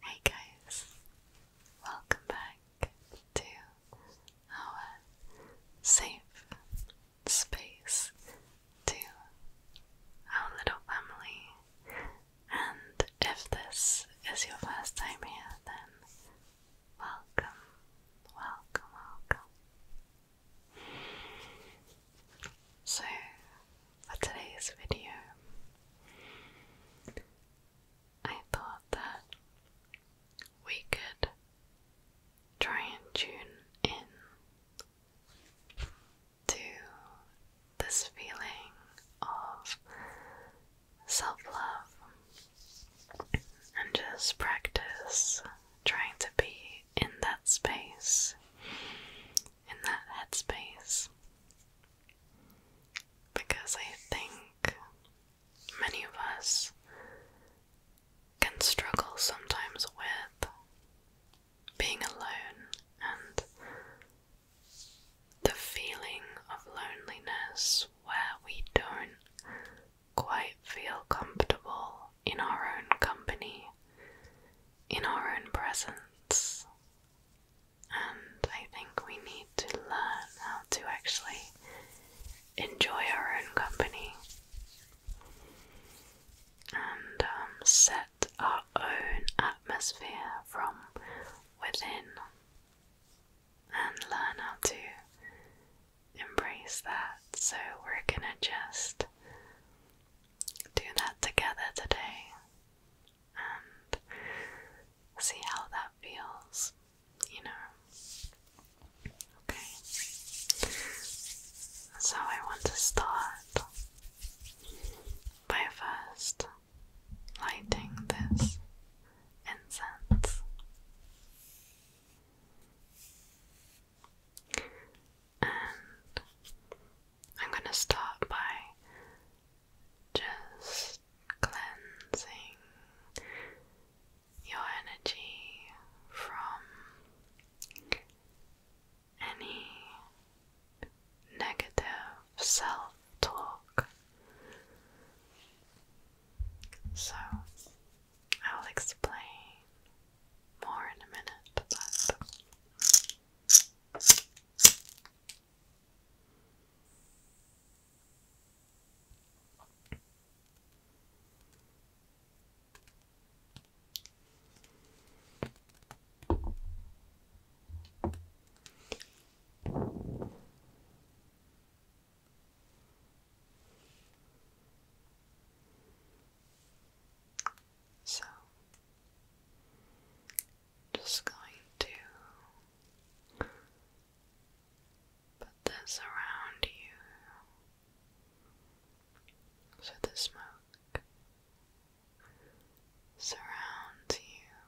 Hey guys, welcome back to our safe space to our little family. And if this is your first time here, then welcome, welcome, welcome. So, for today's video, I thought that we could try and tune in to this feeling of self love and just practice trying to be in that space, in that headspace. Because I think many of us can struggle sometimes with being alone and the feeling of loneliness where we don't quite feel comfortable in our own company, in our own presence. And I think we need to learn how to actually enjoy our own company and um, set our own atmosphere from within and learn how to embrace that. So, we're gonna just do that together today and see how that feels, you know. Okay, so I want to start by first lighting this incense. And I'm going to start by just cleansing your energy from any negative self talk. So, I'll explain more in a minute, but. So, just going to put this around you. So the smoke surrounds you,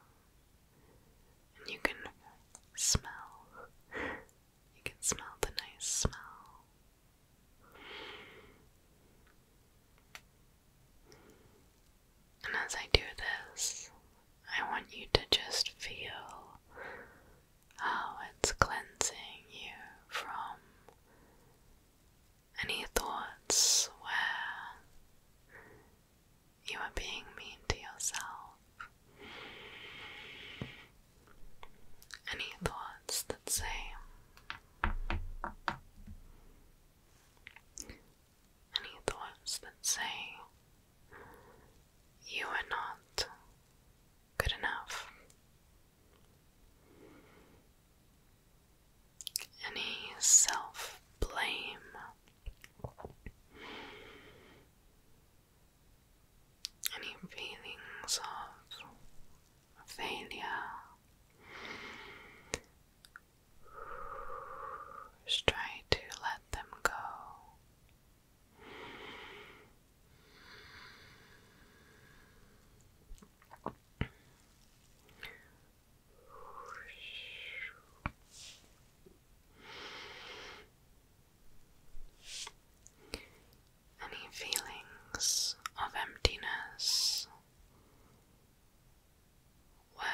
and you can smell. You can smell the nice smell. And as I do this, I want you to just feel how it's cleansing you from any thoughts where you are being mean to yourself, any thoughts that say, any thoughts that say, you are not good enough. Any self blame, any feelings of failure, try to let them go. Any feelings of emptiness where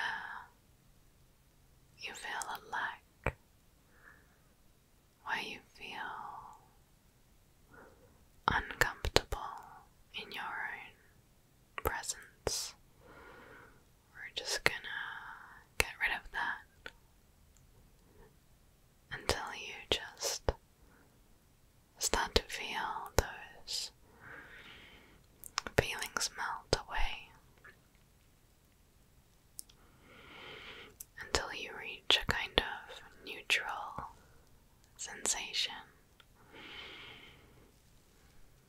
you feel a lack where you feel uncomfortable in your own presence. We're just gonna get rid of that until you just start to feel those feelings melt away until you reach a kind of neutral sensation.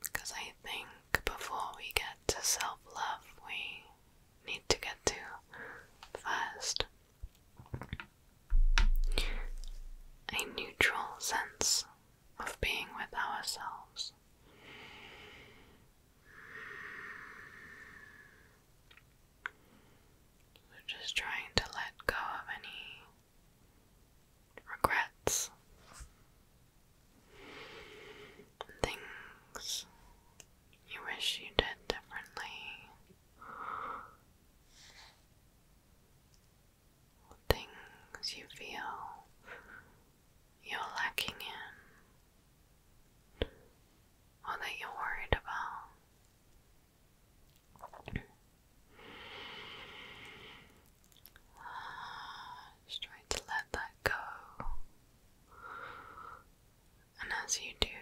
Because I think before we get to self love, we need to get to first a neutral sense of being with ourselves. So just trying to let go of any regrets, things you wish you did differently. Things you feel you're lacking in or that you're worried about. Just try to let that go. And as you do,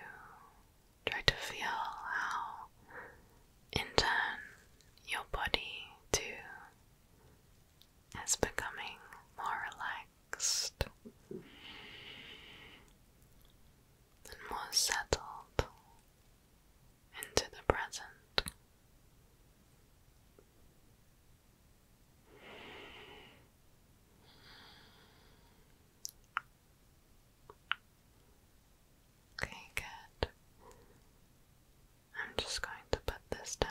try to feel how, in turn, your body too is becoming more relaxed and more settled into the present. Okay, good. I'm just going to put this down.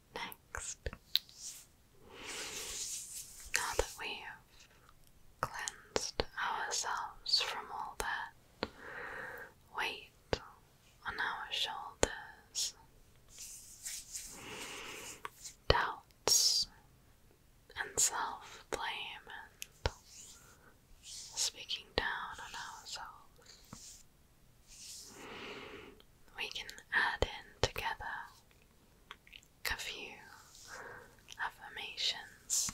Next, now that we have cleansed ourselves from all that weight on our shoulders, doubts and self blame, and speaking down on ourselves. We can add in together a few affirmations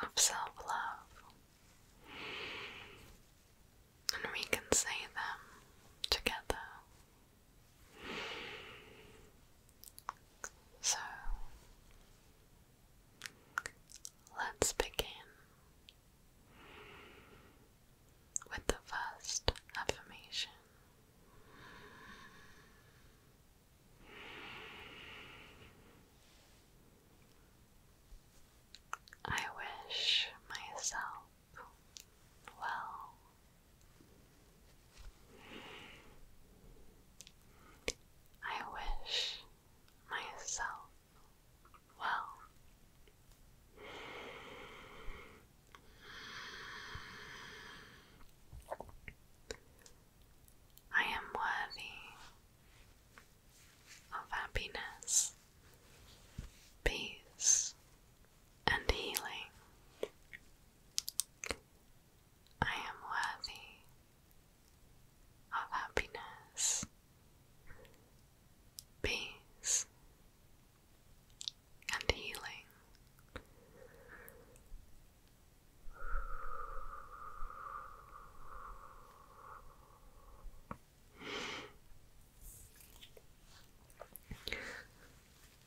of self love, and we can say them together. So let's begin with the first affirmation. I wish myself well. I wish myself well. I am worthy of happiness, peace, and healing. I am worthy of happiness, peace, and healing.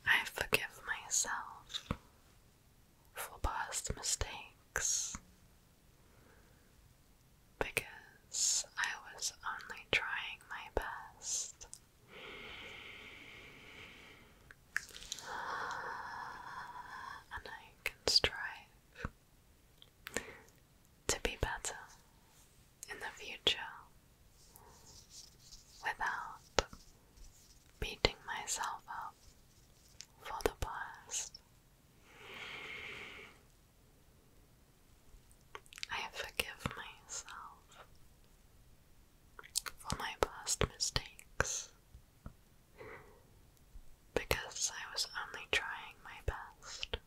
I forgive myself for past mistakes because I was only trying my best. And I can strive to be better in the future without beating myself up for the past. I forgive myself for my past mistakes because I was only trying my best.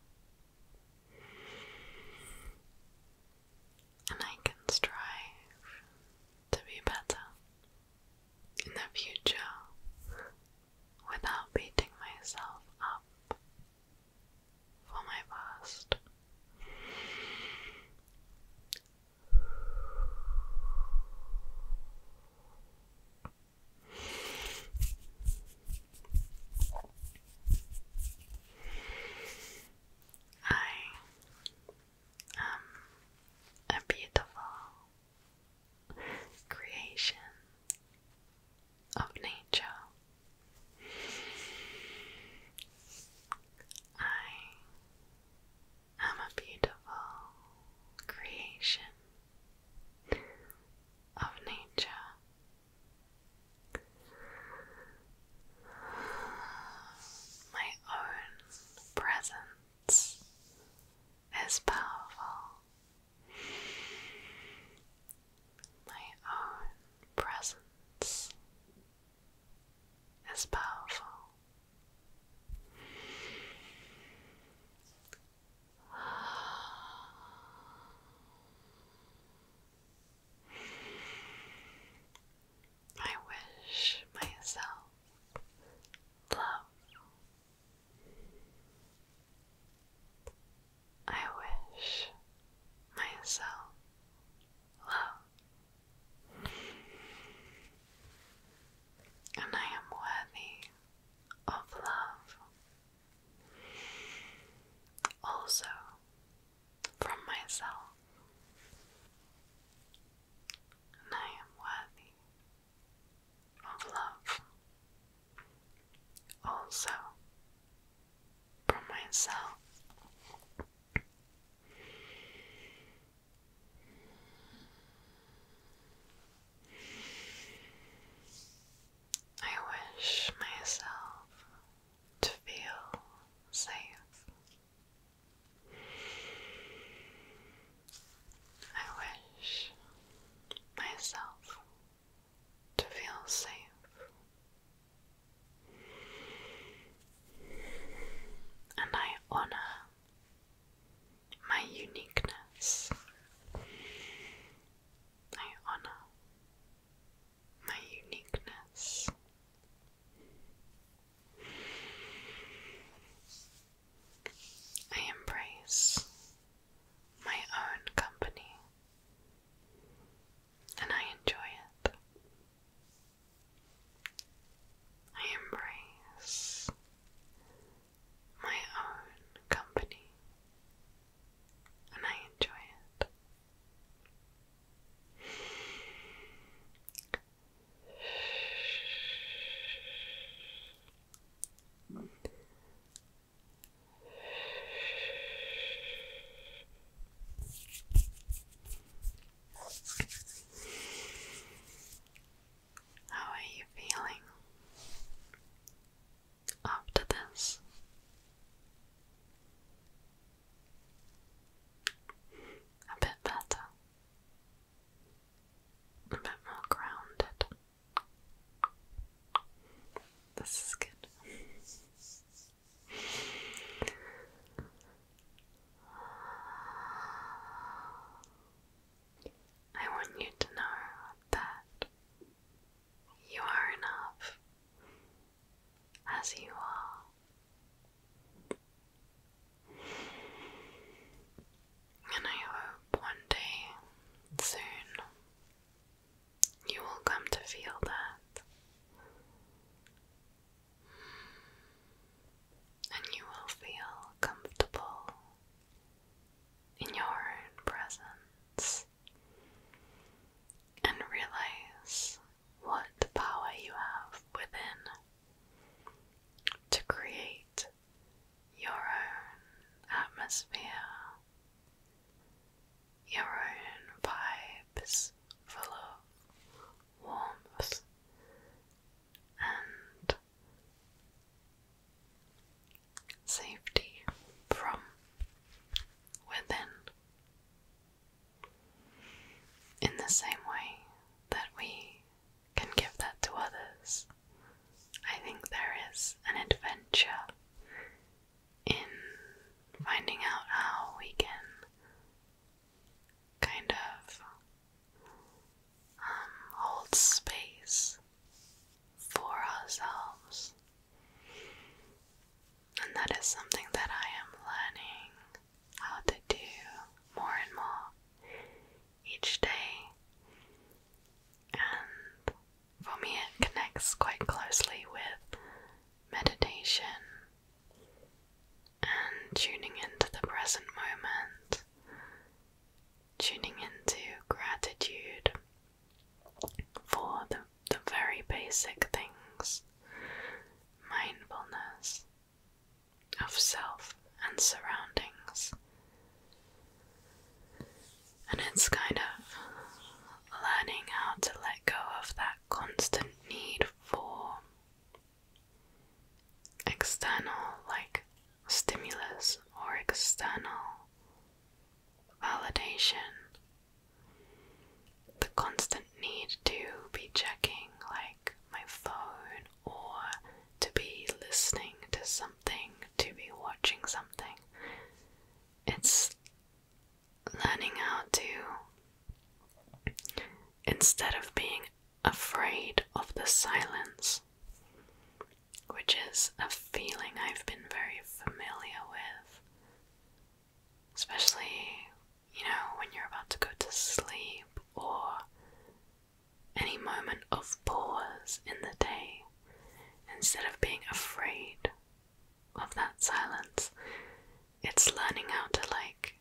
And I can strive to be better in the future without beating myself up for my past. I am beautiful creation of nature. I am a beautiful creation of nature. My own presence is powerful my own presence is powerful. I wish myself love I wish myself love, and I am worthy of love. Also, from myself, I am worthy of love. Also, for myself, I wish myself to feel safe. I wish myself to feel safe. And I honor my uniqueness. I honor my uniqueness. I embrace my own company and I enjoy it. I embrace my own company and I enjoy it. How are you feeling after this? A bit better a bit more grounded. This is good. I want you to know that you are enough as you are. And I hope one day, soon, you will come to feel that. And you will feel comfortable in your own presence and realize what the power you have within to create your own atmosphere, your own vibes full warmth and safety from within. In the same way that we can give that to others. I think there is an adventure in finding out how we can kind of um, hold space for ourselves. And that is something that I am learning how to do more and more each day. And for me, it connects quite closely with meditation and tuning into the present moment, tuning into gratitude for the, the very basic things mindfulness of self and surroundings. And it's kind of learning how to let go of that constant need for external, like stimulus or external validation. The constant need to be checking, like my phone or to be listening to something, to be watching something. It's learning how to, instead of being afraid of the silence, which is a feeling I've been very familiar with, especially you know, when you're about to go to sleep or any moment of pause in the day, instead of being afraid of that silence, it's learning how to like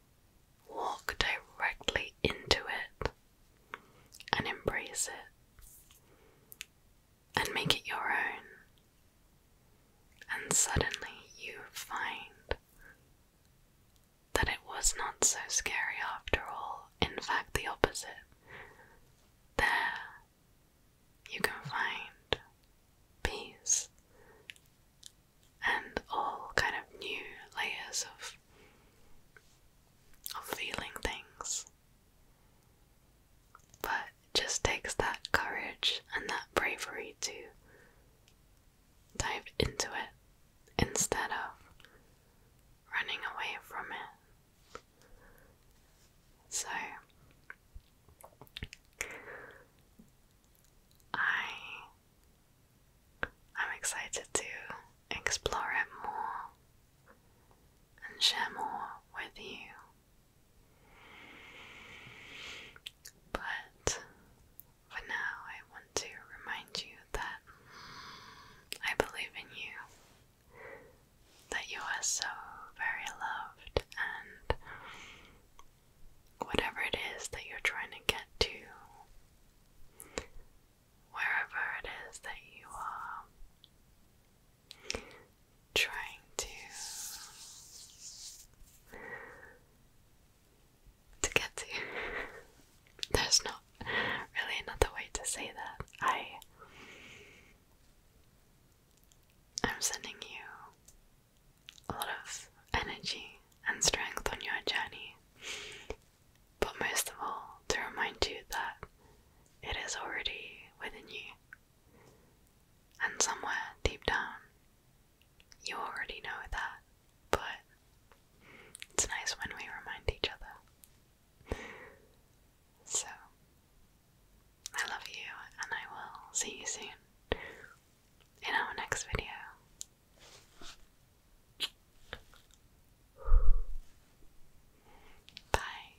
walk directly into it and embrace it and make it your own. And suddenly you find that it was not so scary after all, in fact, the opposite. There, you can find peace and all kind of new layers of of feeling things. But it just takes that courage and that bravery to Dive into it instead of running away from it. So I I'm excited to explore it more and share more with you. But for now, I want to remind you that I believe in you, that you are so very loved, and whatever it is that you're trying to get to, wherever it is that you are trying to to get to. There's not really another way to say that. I I'm sending you a lot of energy and strength on your journey. But most of all, to remind you that it is already within you. And somewhere deep down, you already know that, but it's nice when we remind each other. So, I love you, and I will see you soon in our next video. Bye.